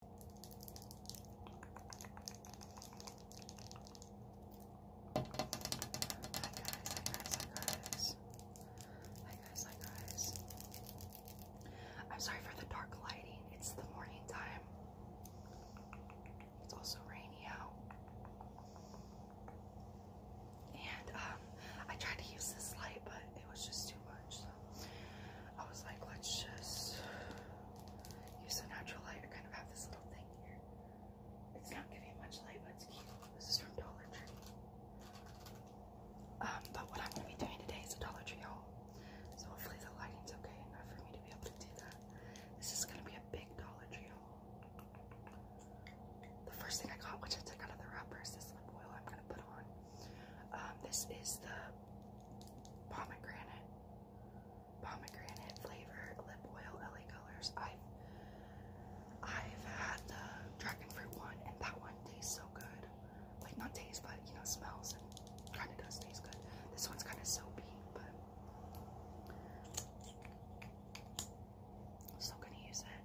guys, hi guys, hi guys. I'm sorry for the dark lighting. It's the morning time. It's also rainy out. And um I tried to use this light, but it was just too much. I was like, let's just use some natural light. I kind of have this little thing here. It's not giving much light, but it's cute. This is from Dollar Tree. Um, but what I'm gonna be doing today is a Dollar Tree haul. So hopefully the lighting's okay enough for me to be able to do that. This is gonna be a big Dollar Tree haul. The first thing I got, which I took out of the wrapper, is this lip oil I'm gonna put on. Um, this is the pomegranate, pomegranate flavored lip oil, LA Colors. I've I've had the dragon fruit one, and that one tastes so good. Like not taste, but you know smells and kind of does taste good. This one's kind of soapy, but I'm still gonna use it.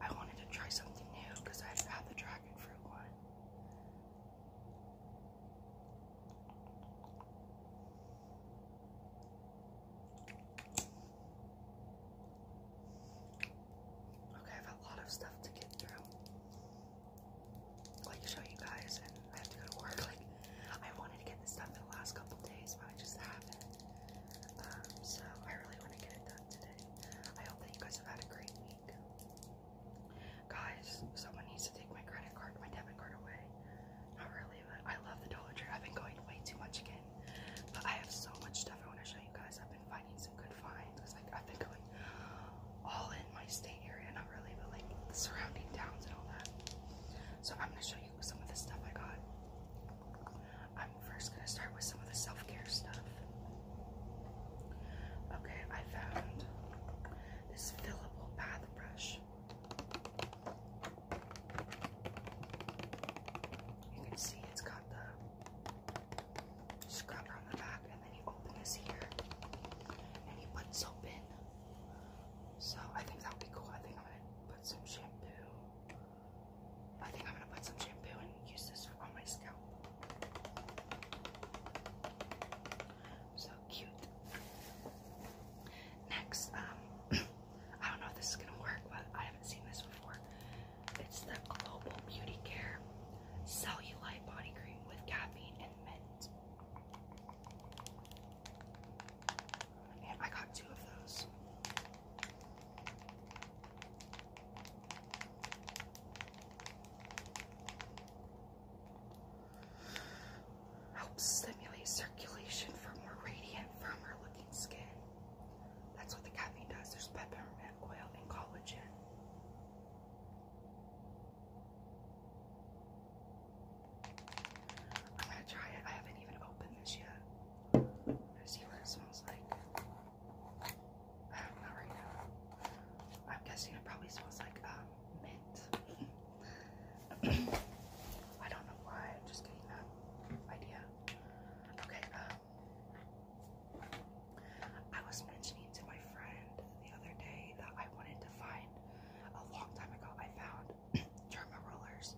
I wanted to try something new because i had the dragon fruit one. Okay, I have a lot of stuff to get through. Like show you guys, and I have to go to work. Like I wanted to get this done in the last couple days, but I just haven't. Um, so I really want to get it done today. I hope that you guys have had a great Guys, someone needs to take my credit card, my debit card away. Not really, but I love the Dollar Tree. I've been going way too much again. But I have so much stuff I want to show you guys. I've been finding some good finds. like I've been going all in my state area, not really, but like the surrounding towns and all that. So I'm gonna show you some of the stuff I got. I'm first gonna start with some of the self-care stuff. Okay, I found this fillable bath brush. You can see it's got the scrubber on the back, and then you open this here and you put soap in. So I think that would be cool. I think I'm gonna put some shampoo. I think I'm gonna put some shampoo and use this on my scalp. So cute. Next, um, I don't know if this is gonna work, but I haven't seen this before. It's the Global Beauty Care Cellulite Body Cream with caffeine and mint. I got two of those. Helps stimulate circulation for more radiant, firmer looking skin. That's what the caffeine does. There's peppermint oil and collagen. I'm gonna try it. I haven't even opened this yet. I'm see what it smells like. Not right now. I'm guessing it probably smells like um, mint. I don't know why. I'm just getting that idea. Okay. Um, I was mentioning to my friend the other day that I wanted to find a long time ago. I found German rollers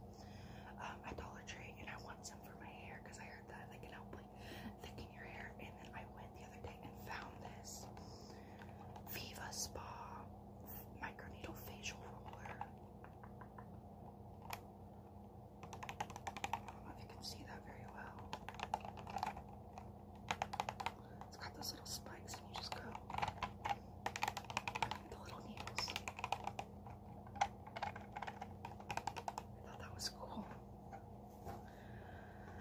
um, at Dollar Tree, and I want some for my hair because I that I help like thicken your hair. And then I went the other day and found this Viva Spa microneedle facial roller. I don't know if you can see that very well. It's got those little spikes, and you just go the little needles. I thought that was cool.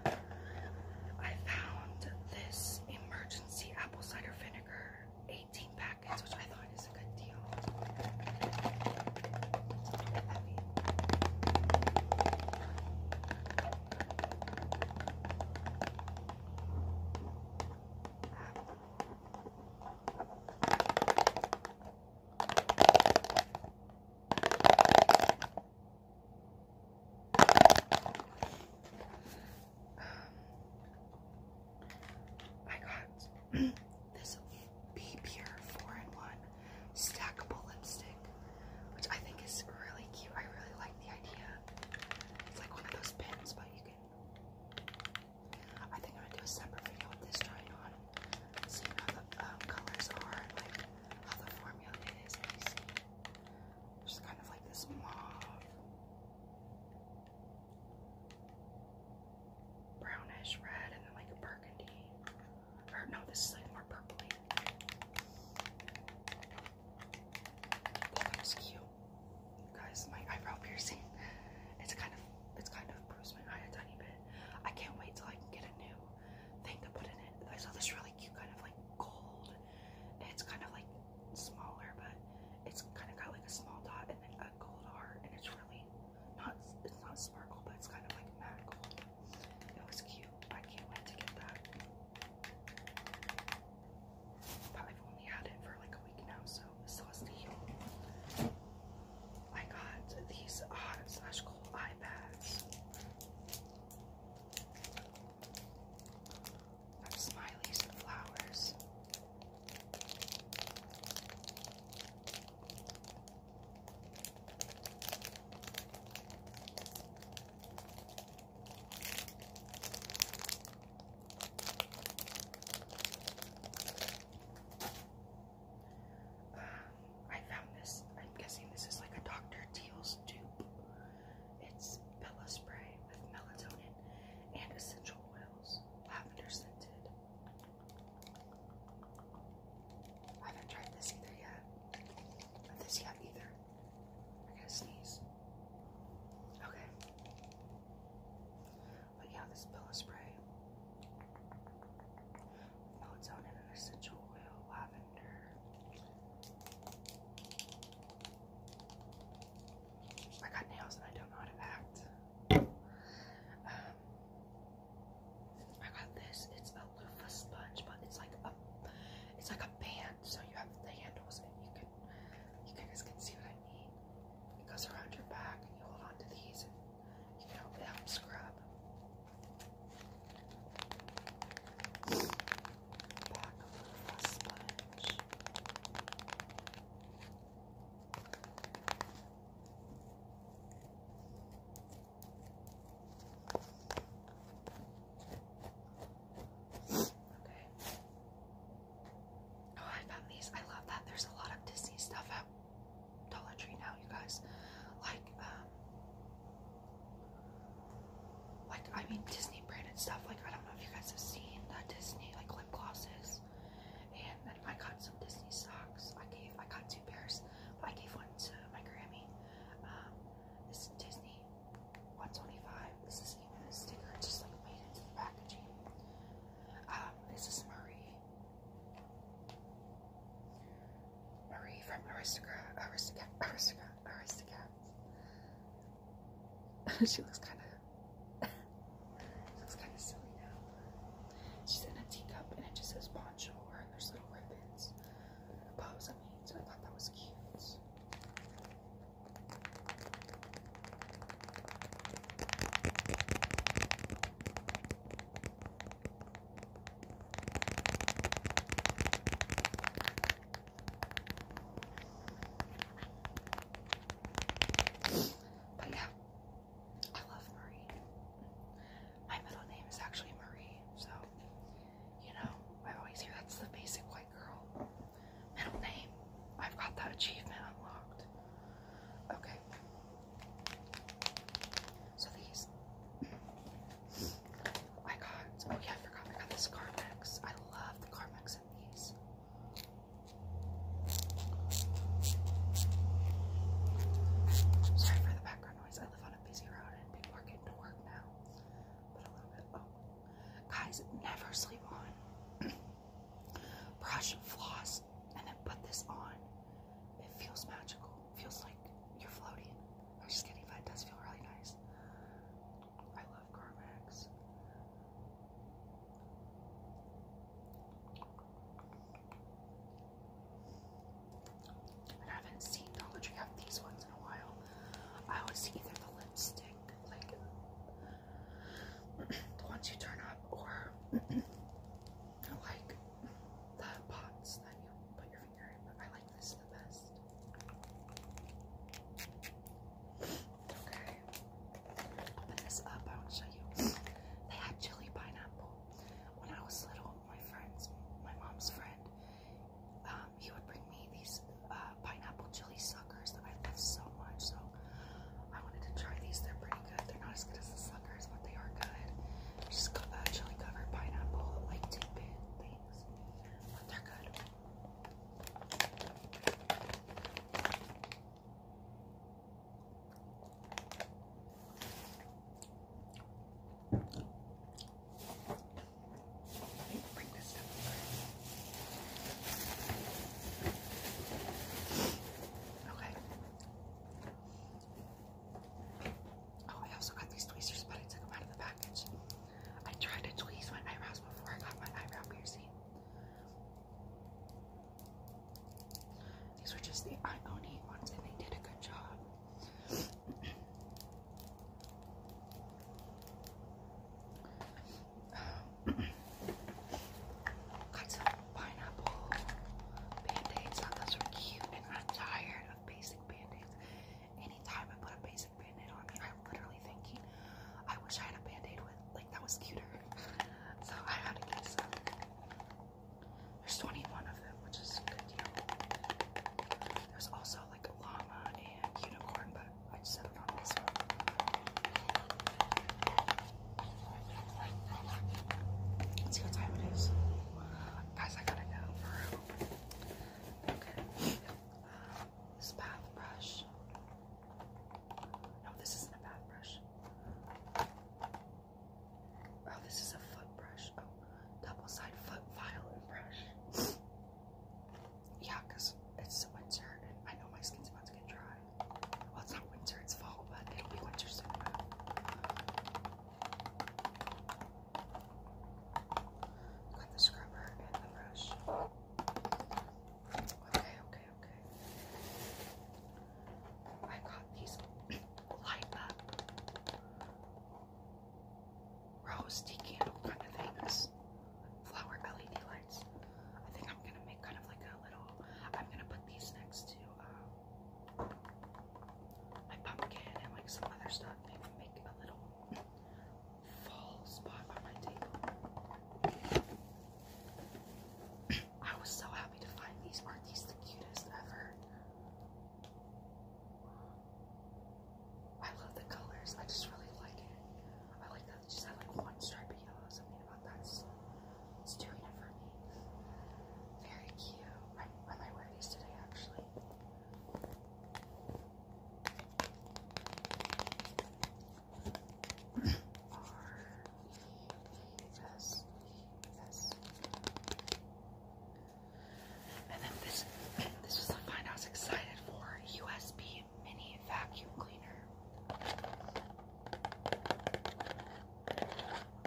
I found this emergency apple cider vinegar 18 packets, which I thought is a good deal. I got this Be Pure 4 in 1 stackable lipstick, which I think is really cute. I really like the idea. It's like one of those pins, but you can. I think I'm gonna do a separate video with this trying on. See how the um, colors are and like how the formula is. And kind of like this mauve, brownish red, and then like a burgundy. Or no, this is like more purpley. That looks cute. guys, my eyebrow piercing. It's kind of it's kind of bruise my a tiny bit. I can't wait till I can get a new thing to put in it. I saw this really cute kind of like gold. It's kind of like smaller, but it's kind of got like a small dot and then a gold heart, and it's really not. It's not sparkle, but it's kind of like matte gold. It was cute. I can't wait to get that. But only had it for like a week now, so it still has I got these hot slash cool iPads. Got smileys and flowers. I found this. I'm guessing this is like a Dr. Teal's dupe. It's Bella spray with melatonin and essential oils, lavender scented. I haven't tried this either yet. Not this yet either. I am going to sneeze. Okay. But yeah, this pillow spray, melatonin and essential oil, lavender. I got nails and I don't know how to act. Um, I got this. It's a loofah sponge, but it's like a it's like a band, so you have the handles and you can you guys can see what I mean. It goes around your back and you hold on to these you know, it scrub. Okay. Oh, I found these. I love that. There's a lot of Disney stuff at Dollar Tree now, you guys. Like, um, like I mean Disney branded stuff. Like I don't know if you guys have seen the Disney like lip glosses. And then I got some Disney socks. I gave I got two pairs. I gave one to my Grammy. Um, this is Disney 125. This is even a sticker just like made into the packaging. Um, this is Marie Marie from Aristocrat, Aristocrat, Aristocrat, Aristocrat. she looks kind of, looks kind of silly now. She's in a teacup and it just says poncho and there's little ribbons. Bows, I mean, so I thought that was cute. But yeah, I love Marie. My middle name is actually Marie, so you know, I always hear that's the basic white girl middle name. I've got that achievement unlocked. Okay. So these I oh got oh yeah, I forgot I got this Carmex. I love the Carmex in these. Sorry for the background noise. I live on a busy road and people are getting to work now. But a little bit oh guys never sleep on brush floss and then put this on. It feels magical. feels like you're floating. I'm just kidding, but it does feel really nice. I love Carmex. And I haven't seen Dollar Tree have these ones in a while. I always see either the lipstick, like the ones you turn up, or I like the pots that you put your finger in, I like this the best. Okay. Open this up, I'll show you. They had chili pineapple. When I was little, my friends, my mom's friend, um, he would bring me these uh, pineapple chili suckers that I love so much. So I wanted to try these. They're pretty good. They're not as good as the Suckers, but they are good. Just got that uh, covered pineapple, like tidbit things. But they're good. Okay. Oh, I also got these tweezers, but I took them out of the package. I tried to tweeze my eyebrows before I got my eyebrow piercing. These were just the Ioni ones, and they did a good job. Um, Got some pineapple band-aids. Thought those were cute, and I'm tired of basic band-aids. Anytime I put a basic band-aid on me, I'm literally thinking, I wish I had a band-aid with like that was cuter. so I had to get some. There's 21 of them, which is a good deal. There's also like a llama and unicorn, but I just do settled on this one see what time it is. Guys, I gotta go Okay. this bath brush. No, this isn't a bath brush. Oh, this is a foot brush. Oh, double side foot file and brush. yeah, it's winter I know my skin's about get dry. Well, it's not winter, it's fall, but it'll be winter soon. Got the scrubber and the brush. Okay, okay, okay. I got these light up roasty candle kind of things. Flower LED lights. I think I'm gonna make kind of like a I'm gonna put these next to um, my pumpkin and like some other stuff. Maybe make a little fall spot on my table. I was so happy to find these. Aren't these the cutest ever? I love the colors. I just really like it. I like that they just have like one stripe of yellow. Something about that's. Just it's doing it for me. Very cute. I, I might these today, actually. R E S E S. And then this, this was the find I was excited for: USB mini vacuum cleaner.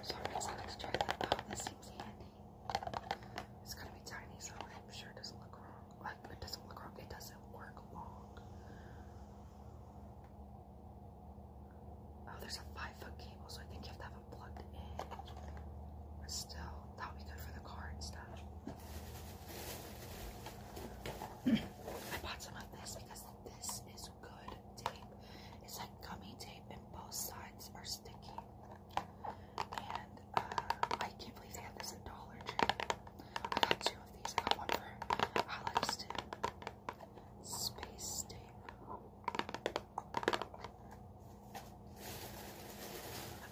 So I'm just to try that out. This seems handy. It's gonna be tiny, so I'm sure it doesn't look wrong. Like it doesn't look wrong. It doesn't work long. Oh, there's a five-foot cable, so I think you have to have it plugged in. still, that would be good for the car and stuff. I bought some of this because this is good tape. It's like gummy tape, and both sides are sticky. And uh, I can't believe they have this at Dollar Tree. I got two of these. I got one for Alex too. Space tape.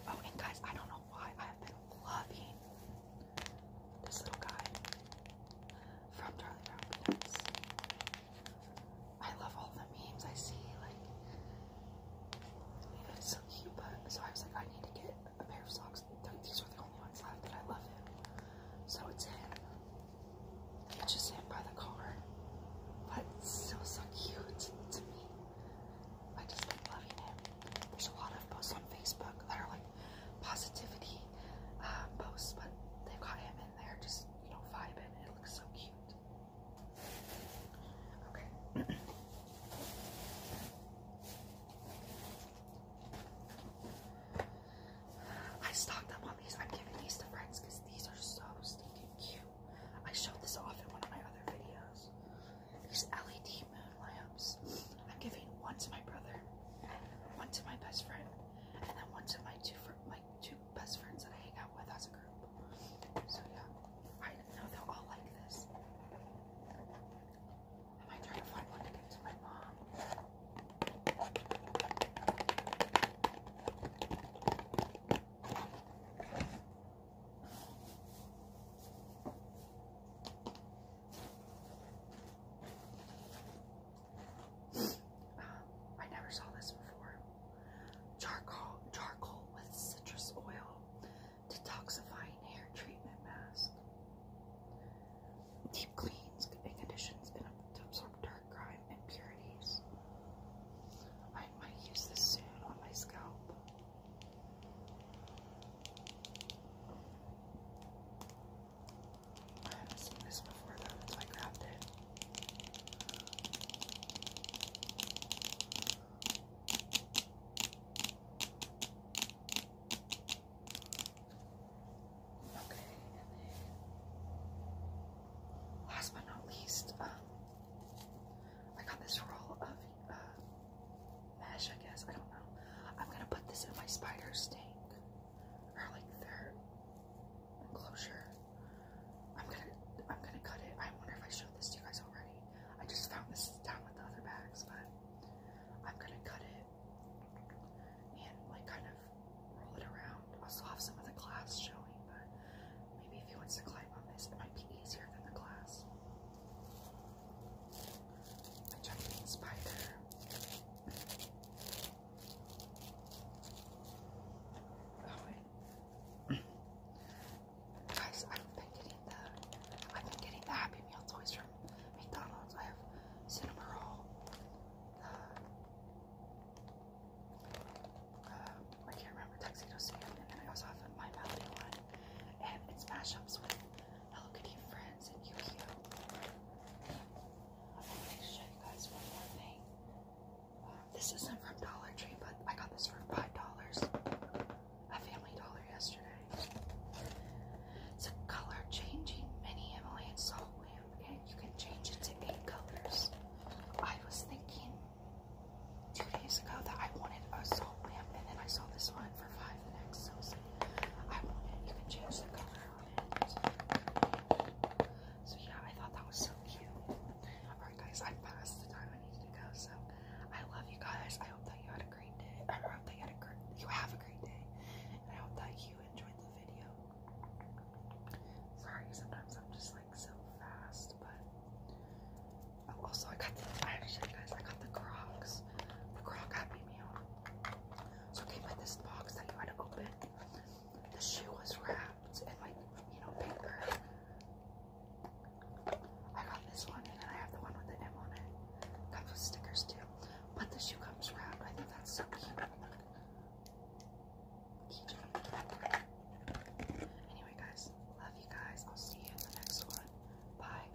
Oh, and guys, I don't know why I've been loving this little guy from Charlie Brown I love all the memes I see, like so cute. But so I was like, I need to get a pair of socks. These are the only ones left that I love him. So it's him. It's just him by the car. But it's still so cute to me. I just like loving him. There's a lot of posts on Facebook that are like positivity um, posts, but they've got him in there just, you know, vibing. It looks so cute. Okay. I stocked up on these. I'm giving these to friends because these are so stinking cute. I showed this off in one of my other videos. These LED I'm giving one to my brother, one to my best friend, and then one to my two my two best friends that I hang out with as a group. So yeah, I know they'll all like this. I might to find one to give to my mom. I never saw this before. Charcoal, charcoal with citrus oil, detoxifying hair treatment mask. Deep cleans and conditions and absorb dark grime impurities. I might use this soon on my scalp. I haven't seen this before though, that's why I grabbed it. Okay, last but not least, um, I got this roll of uh, mesh, I guess. I don't know. I'm gonna put this in my spider stink or like their enclosure. I'm gonna I'm gonna cut it. I wonder if I showed this to you guys already. I just found this down with the other bags, but I'm gonna cut it and like kind of roll it around. I also have some of the glass showing, but maybe if he wants to climb on this, it might be easier than the glass a jumping spider. Oh, guys, I've been getting the I've been getting the Happy Meal toys from McDonald's. I have cinnamon roll. Um, I can't remember tuxedo sand, and then I also have my melody one, and it's mashups with Hello Kitty friends and Yu-Gi-Oh! I'm to show you guys one more thing. Um, this isn't from Dollar Tree, but I got this for $5 a Family Dollar yesterday. It's a color-changing mini Himalayan salt lamp, and you can change it to eight colors. I was thinking two days ago that I wanted a salt lamp, and then I saw this one. I So yeah, I thought that was so cute. Alright guys, I'm past the time I needed to go, so I love you guys. I hope that you had a great day. I hope that you had a great you have a great day. And I hope that you enjoyed the video. Sorry, sometimes I'm just like so fast, but oh, also I got the I actually guys I got the Crocs. The Croc happy meal. So it this box that you to open. The shoe was wrapped in like, you know, paper. I got this one and then I have the one with the M on it. Comes with stickers too. But the shoe comes wrapped. I think that's so cute. Anyway guys, love you guys. I'll see you in the next one. Bye.